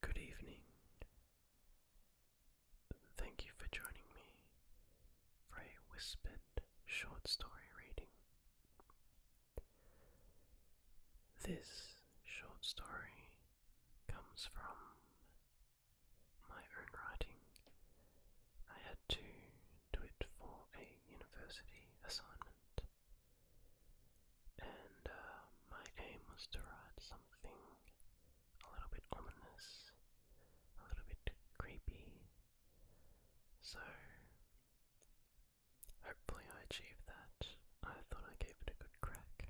Good evening. Thank you for joining me for a whispered short story reading. This short story comes from my own writing. I had to do it for a university assignment, and uh, my aim was to write something a little bit ominous, a little bit creepy. So, hopefully, I achieved that. I thought I gave it a good crack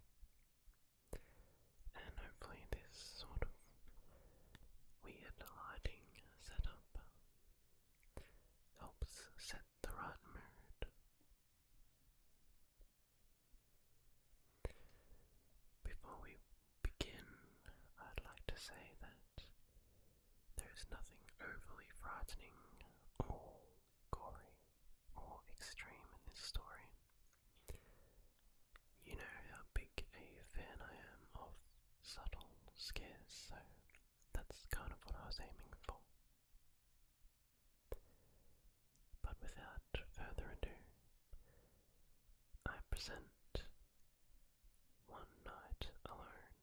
and hopefully this sort of weird lighting setup helps set the right mood. Before we begin, I'd like to say that there is nothing overly frightening or gory or extreme in this story. You know how big a fan I am of subtle scares, so that's kind of what I was aiming for. But without further ado, I present One Night Alone.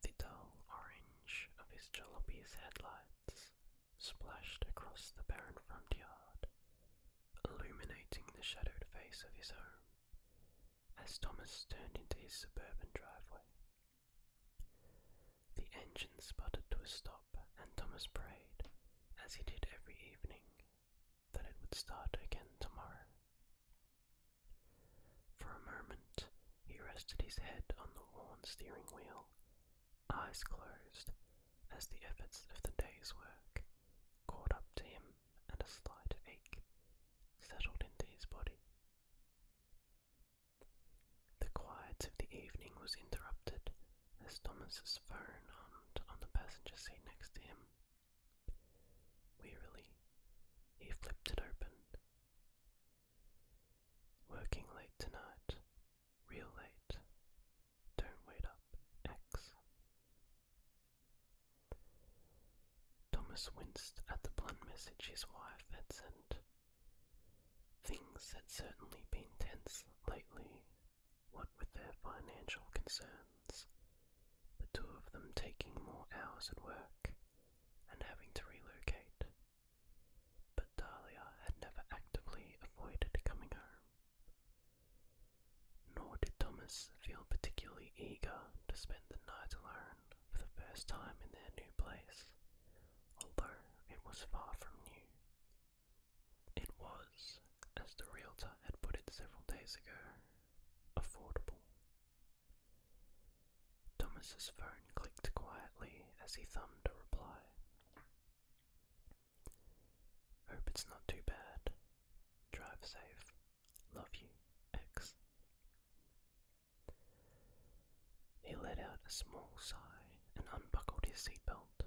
The dull orange of his jalopy's headlights splashed across the barren front yard, illuminating the shadowed face of his home as Thomas turned into his suburban driveway. The engine sputtered to a stop, and Thomas prayed, as he did every evening, that it would start again tomorrow. For a moment he rested his head on the worn steering wheel, eyes closed, as the efforts of the day's work caught up to him and a slight ache settled into his body. The quiet of the evening was interrupted as Thomas's phone hummed on the passenger seat next to him. Wearily, he flipped it open. Working late tonight, real late. Don't wait up, X. Thomas winced at the blunt message his wife had sent. Things had certainly been tense lately, what with their financial concerns, the two of them taking more hours at work and having to relocate but Dahlia had never actively avoided coming home. Nor did Thomas feel particularly eager to spend the night alone for the first time in their new place, although it was far from new. It was, as the realtor had put it several days ago, affordable. Thomas's phone clicked quietly as he thumbed a reply. Hope it's not too bad. Drive safe. Love you, X. He let out a small sigh and unbuckled his seatbelt.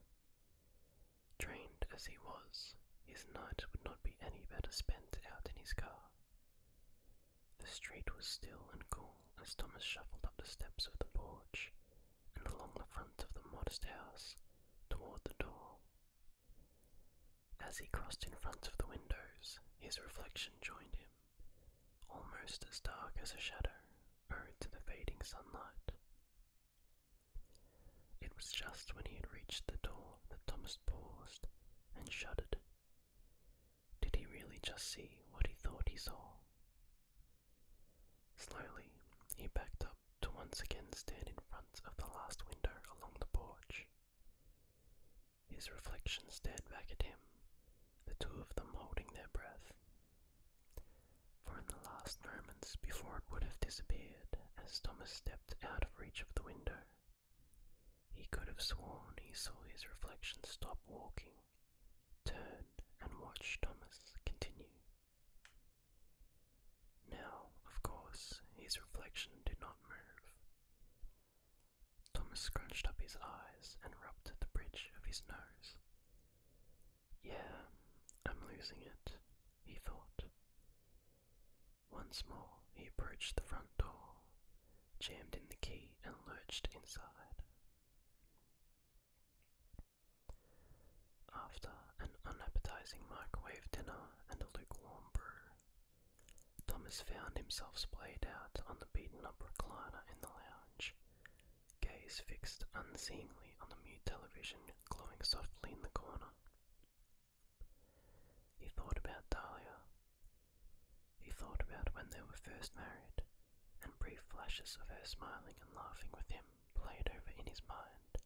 Trained as he was, his night would not be any better spent out in his car. The street was still and cool as Thomas shuffled up the steps of the porch and along the front of the modest house toward the door. As he crossed in front of the windows, his reflection joined him, almost as dark as a shadow owed to the fading sunlight. It was just when he had reached the door that Thomas paused and shuddered. Did he really just see what he thought he saw? Slowly, he backed up to once again stand in front of the last window along the porch. His reflection stared back at him, the two of them holding their breath. For in the last moments before it would have disappeared, as Thomas stepped out of reach of the window, he could have sworn he saw his reflection stop walking, turn, and watch Thomas continue. Now, of course, his reflection did not move. Thomas scrunched up his eyes and rubbed the bridge of his nose. Yeah, I'm losing it, he thought. Once more he approached the front door jammed in the key and lurched inside. After an unappetizing microwave dinner and a lukewarm brew, Thomas found himself splayed out on the beaten up recliner in the lounge, gaze fixed unseeingly on the mute television glowing softly in the corner. He thought about Dahlia, he thought about when they were first married, and brief flashes of her smiling and laughing with him played over in his mind,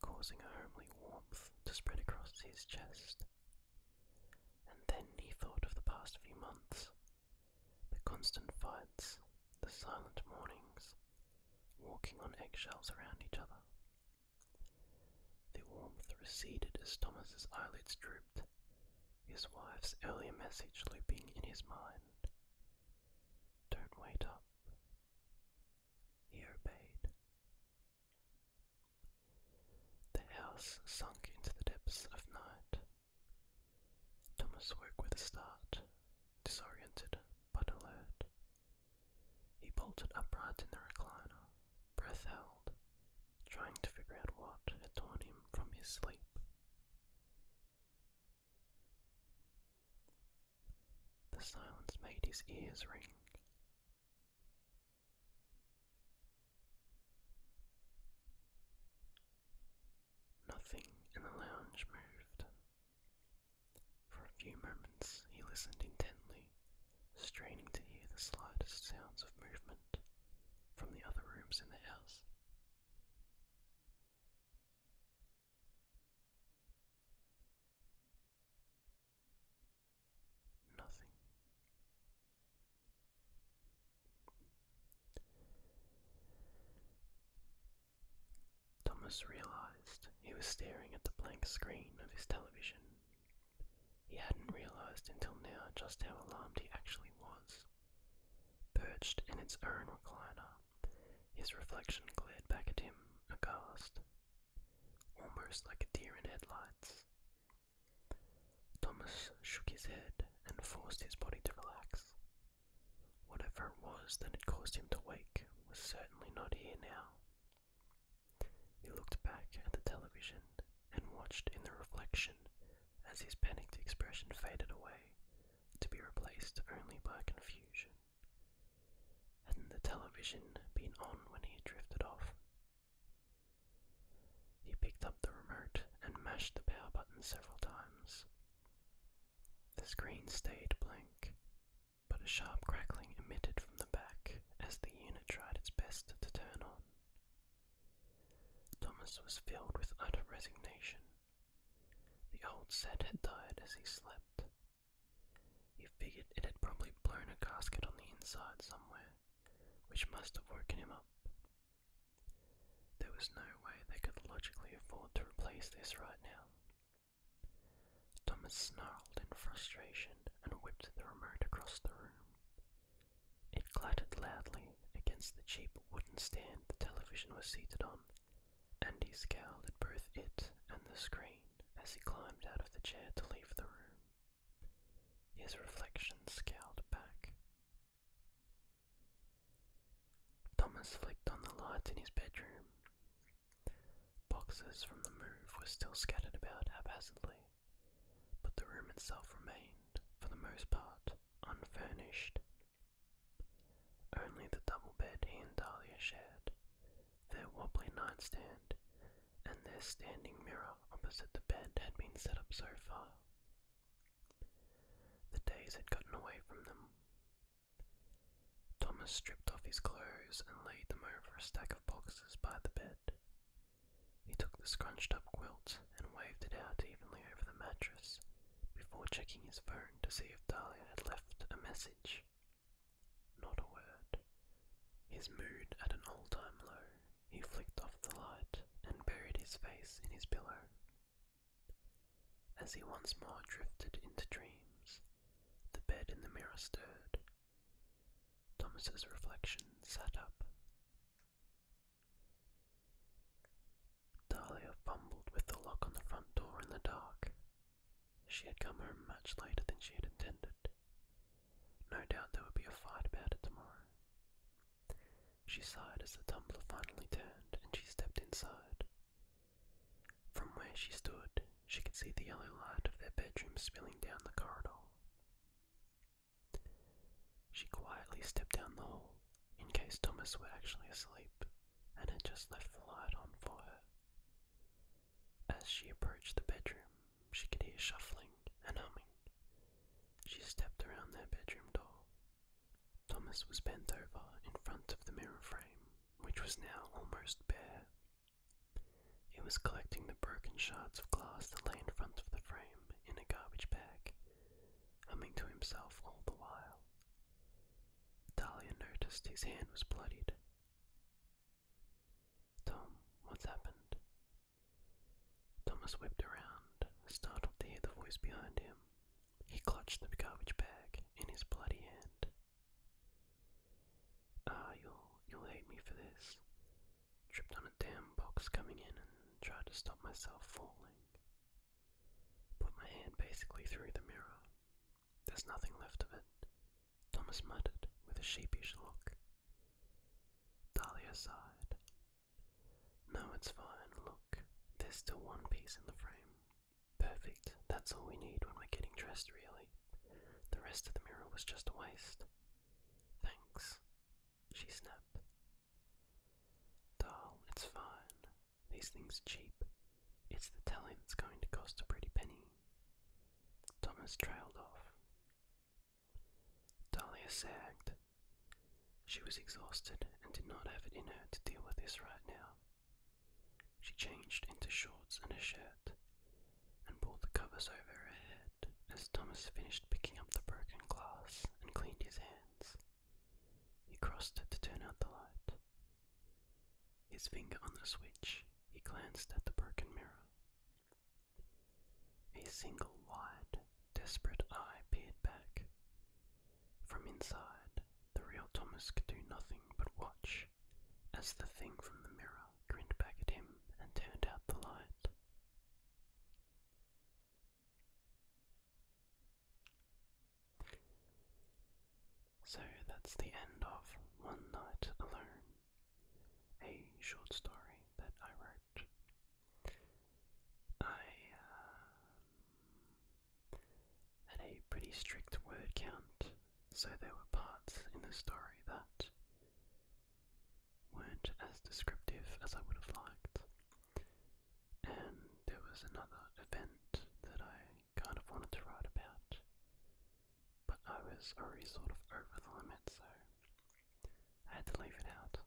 causing a homely warmth to spread across his chest. And then he thought of the past few months the constant fights, the silent mornings, walking on eggshells around each other. The warmth receded as Thomas's eyelids drooped, his wife's earlier message looping in his mind. Don't wait up. He obeyed. The house sunk into the depths of night. Thomas woke with a start, disoriented but alert. He bolted upright in the recliner, breath held, trying to figure out what had torn him from his sleep. The silence made his ears ring. Nothing in the lounge moved. For a few moments he listened intently, straining to hear the slightest sounds of movement from the other rooms in the house. Nothing. Thomas realized he was staring at the blank screen of his television. He hadn't realized until now just how alarmed he actually was. Perched in its own recliner, his reflection glared back at him, aghast, almost like a deer in headlights. Thomas shook his head and forced his body to relax. Whatever it was that had caused him to wake was certainly not here now. He looked back at the television and watched in the reflection as his panicked expression faded away, to be replaced only by confusion. Hadn't the television been on when he drifted off? He picked up the remote and mashed the power button several times. The screen stayed blank, but a sharp crackling emitted from the back as the unit tried its best to turn on. Thomas was filled with utter resignation. The old set had died as he slept. He figured it had probably blown a gasket on the inside somewhere, which must have woken him up. There was no way they could logically afford to replace this right now. Thomas snarled in frustration and whipped the remote across the room. It clattered loudly against the cheap wooden stand the television was seated on. Andy scowled at both it and the screen as he climbed out of the chair to leave the room. His reflection scowled back. Thomas flicked on the lights in his bedroom. Boxes from the move were still scattered about haphazardly, but the room itself remained, for the most part, unfurnished. Only the double bed he and Dahlia shared, their wobbly nightstand, and their standing mirror opposite the bed had been set up so far. The days had gotten away from them. Thomas stripped off his clothes and laid them over a stack of boxes by the bed. He took the scrunched up quilt and waved it out evenly over the mattress before checking his phone to see if Dahlia had left a message. Not a word. His mood at an all time low, he flicked off the light and buried his face in his pillow. As he once more drifted into dreams, the bed in the mirror stirred. Thomas's reflection sat up. Dahlia fumbled with the lock on the front door in the dark. She had come home much later than she had intended. No doubt there would be a fight about it tomorrow. She sighed as the tumbler finally turned and she stepped inside. From where she stood, she could see the yellow light of their bedroom spilling down the corridor. She quietly stepped down the hall, in case Thomas were actually asleep, and had just left the light on for her. As she approached the bedroom, she could hear shuffling and humming. She stepped around their bedroom door. Thomas was bent over in front of the mirror frame, which was now almost bare. He was collecting the broken shards of glass that lay in front of the frame in a garbage bag humming to himself all the while. Dahlia noticed his hand was bloodied. Tom, what's happened? Thomas whipped around, startled to hear the voice behind him. He clutched the garbage bag in his bloody hand. Ah, you'll, you'll hate me for this. Tripped on a damn box coming in and tried to stop myself falling. Put my hand basically through the mirror. There's nothing left of it, Thomas muttered with a sheepish look. Dahlia sighed. No, it's fine. Look, there's still one piece in the frame. Perfect. That's all we need when we're getting dressed, really. The rest of the mirror was just a waste. Thanks, she snapped, Darl, it's fine. These things cheap. It's the telling that's going to cost a pretty penny. Thomas trailed off. Dahlia sagged. She was exhausted and did not have it in her to deal with this right now. She changed into shorts and a shirt and pulled the covers over her head as Thomas finished picking up the broken glass and cleaned his hands. He crossed to turn out the light. His finger on the switch, he glanced at the broken mirror. A single wide, desperate eye peered back. From inside, the real Thomas could do nothing but watch as the thing from the mirror grinned back at him and turned out the light. So that's the end of One Night Alone, a short story that I wrote. I um, had a pretty strict word count, so there were parts in the story that weren't as descriptive as I would have liked. And there was another event that I kind of wanted to write about, but I was already sort of over the limit, so I had to leave it out.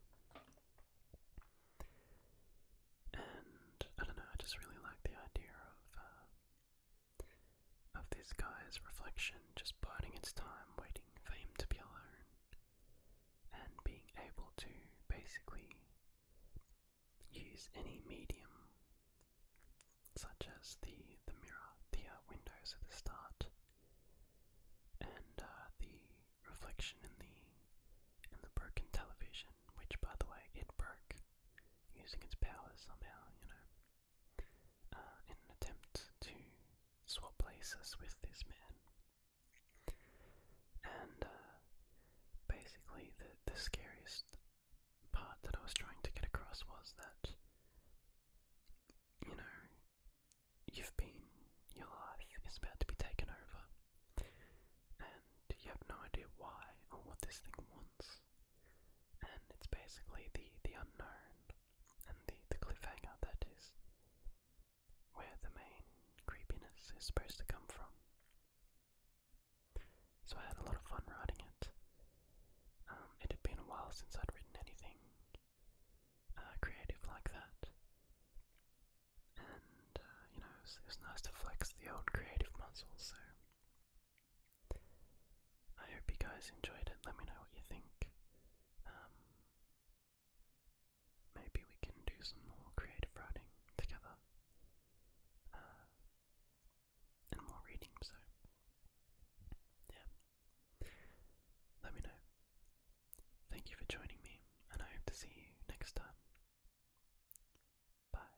And I don't know, I just really like the idea of uh, of this guy's reflection just biding its time, waiting for him to be alone, and being able to basically Use any medium, such as the, the mirror, the uh, windows at the start, and uh, the reflection in the in the broken television, which by the way it broke using its powers somehow, you know, uh, in an attempt to swap places with this man. And uh, basically, the, the scariest part that I was trying to get across was that, you know, you've been, your life is about to be taken over, and you have no idea why or what this thing wants. And it's basically the, the unknown and the, the cliffhanger that is where the main creepiness is supposed to come from. So I had a lot of fun writing it. Um, it had been a while since I'd written anything uh, creative like that. And, uh, you know, it was, nice to flex the old creative muscles, so. I hope you guys enjoyed it. Let me know what you think. Um, maybe we can do some more creative writing together uh, and more reading. So, yeah, let me know. Thank you for joining me, and I hope to see you next time. Bye.